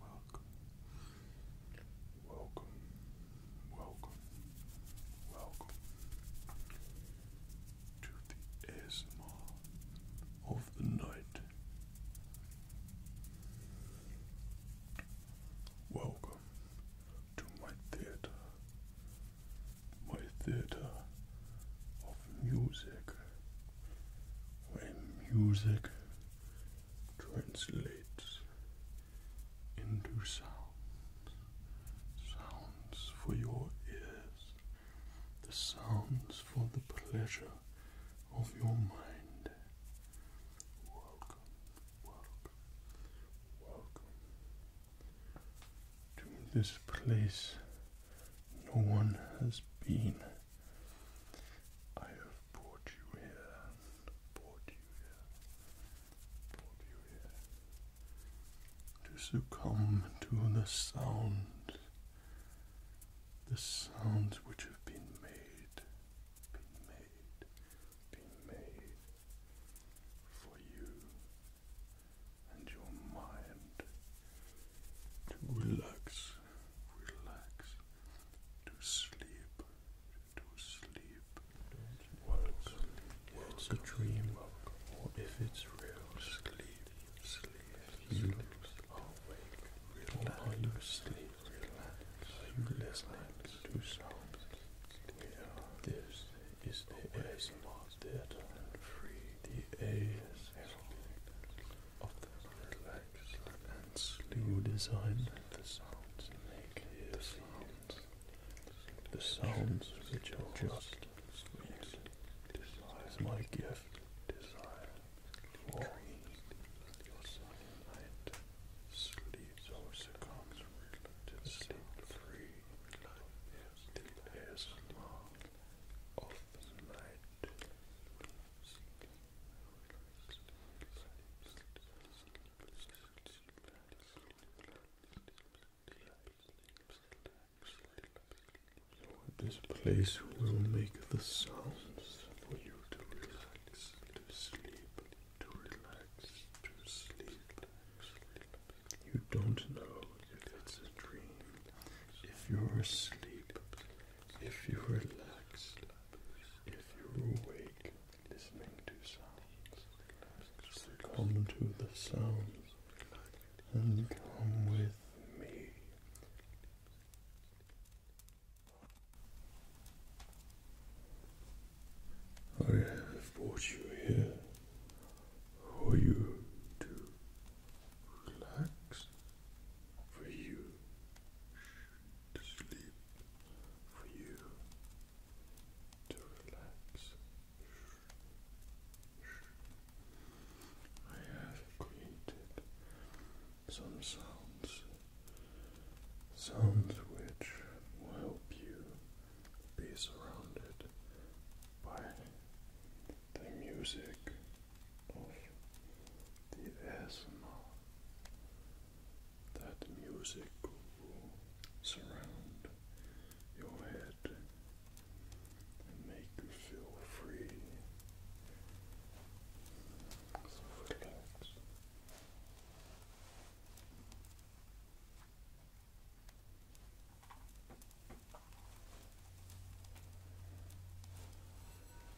welcome, welcome, welcome, welcome to the ASMR of the night. Welcome to my theater, my theater of music, where music translates into sounds, sounds for your ears, the sounds for the pleasure of your mind. Welcome, welcome, welcome to this place no one has been. I brought you here, brought you here, brought you here to succumb to the sounds, the sounds which have been made, been made, been made for you and your mind to relax relax, to sleep, to sleep. Welcome, welcome it's a dream, or if it's real, sleep, sleep. If you are awake, relax, or are you asleep, relax. Are you listening to sounds? This is the ASMR theater and free, the ASMR of the relax. And slew design the sounds make the sounds. The sounds which are just sweet. Desire is my gift. design For your sun night. Sleep so succumbs to sleep free. Is the ASMR of the night. This place will make the sounds for you to relax, to sleep, to relax, to sleep. You don't know if it's a dream, if you're asleep, if you relax, if you're awake, listening to sounds, come to the sounds and come with me. I have brought you here for you to relax for you to sleep, for you to relax. I have created some sounds, sounds which will help you be surrounded by the music of the ASMR that music will surround your head and make you feel free. So Relax.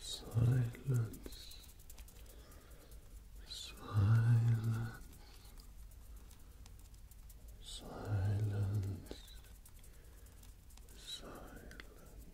Silence, silence, silence, silence.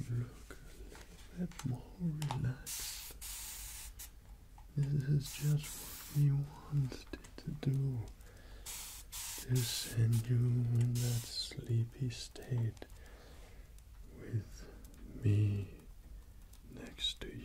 You look a little more relaxed. This is just what we wanted to do to send you in that sleepy state with me next to you.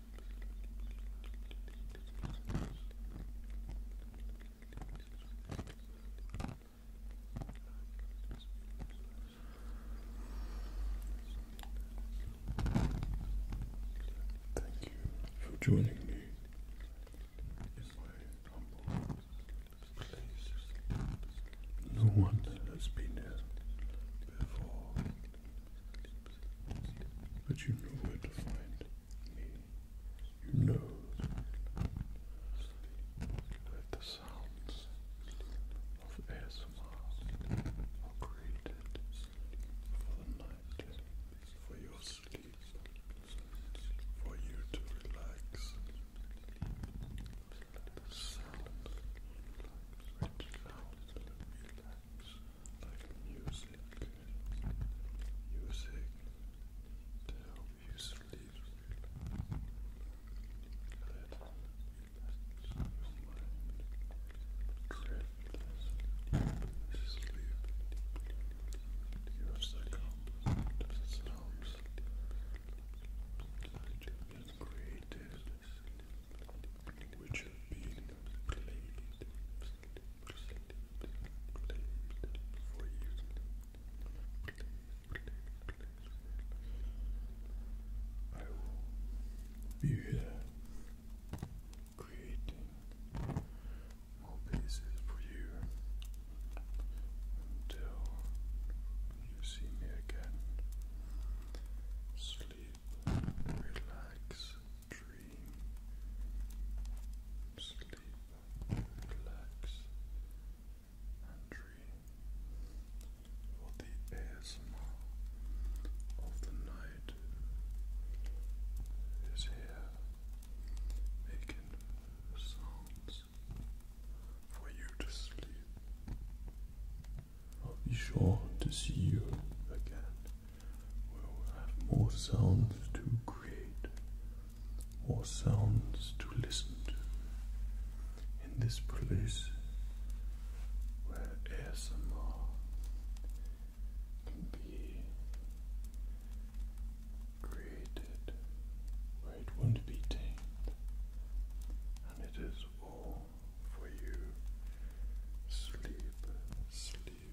Thank you for joining me No one has been here before. But you know where to find me. You know that the sounds of ASMR are created for the night, for your sleep, for you to relax. The sound which sound like music, music to help you sleep. Let your mind drift sleep. You have succumbed to the sounds that you have created which have been played, for you. I will be creating more pieces for you until you see me again sleep, relax, dream, sleep, relax, and dream for the ASMR of the night is here making sounds for you to sleep. I'll be sure to see you again. We'll have more sounds to create, more sounds to listen to in this place where ASMR can be created, where it won't be tamed, and it is all for you. Sleep, sleep.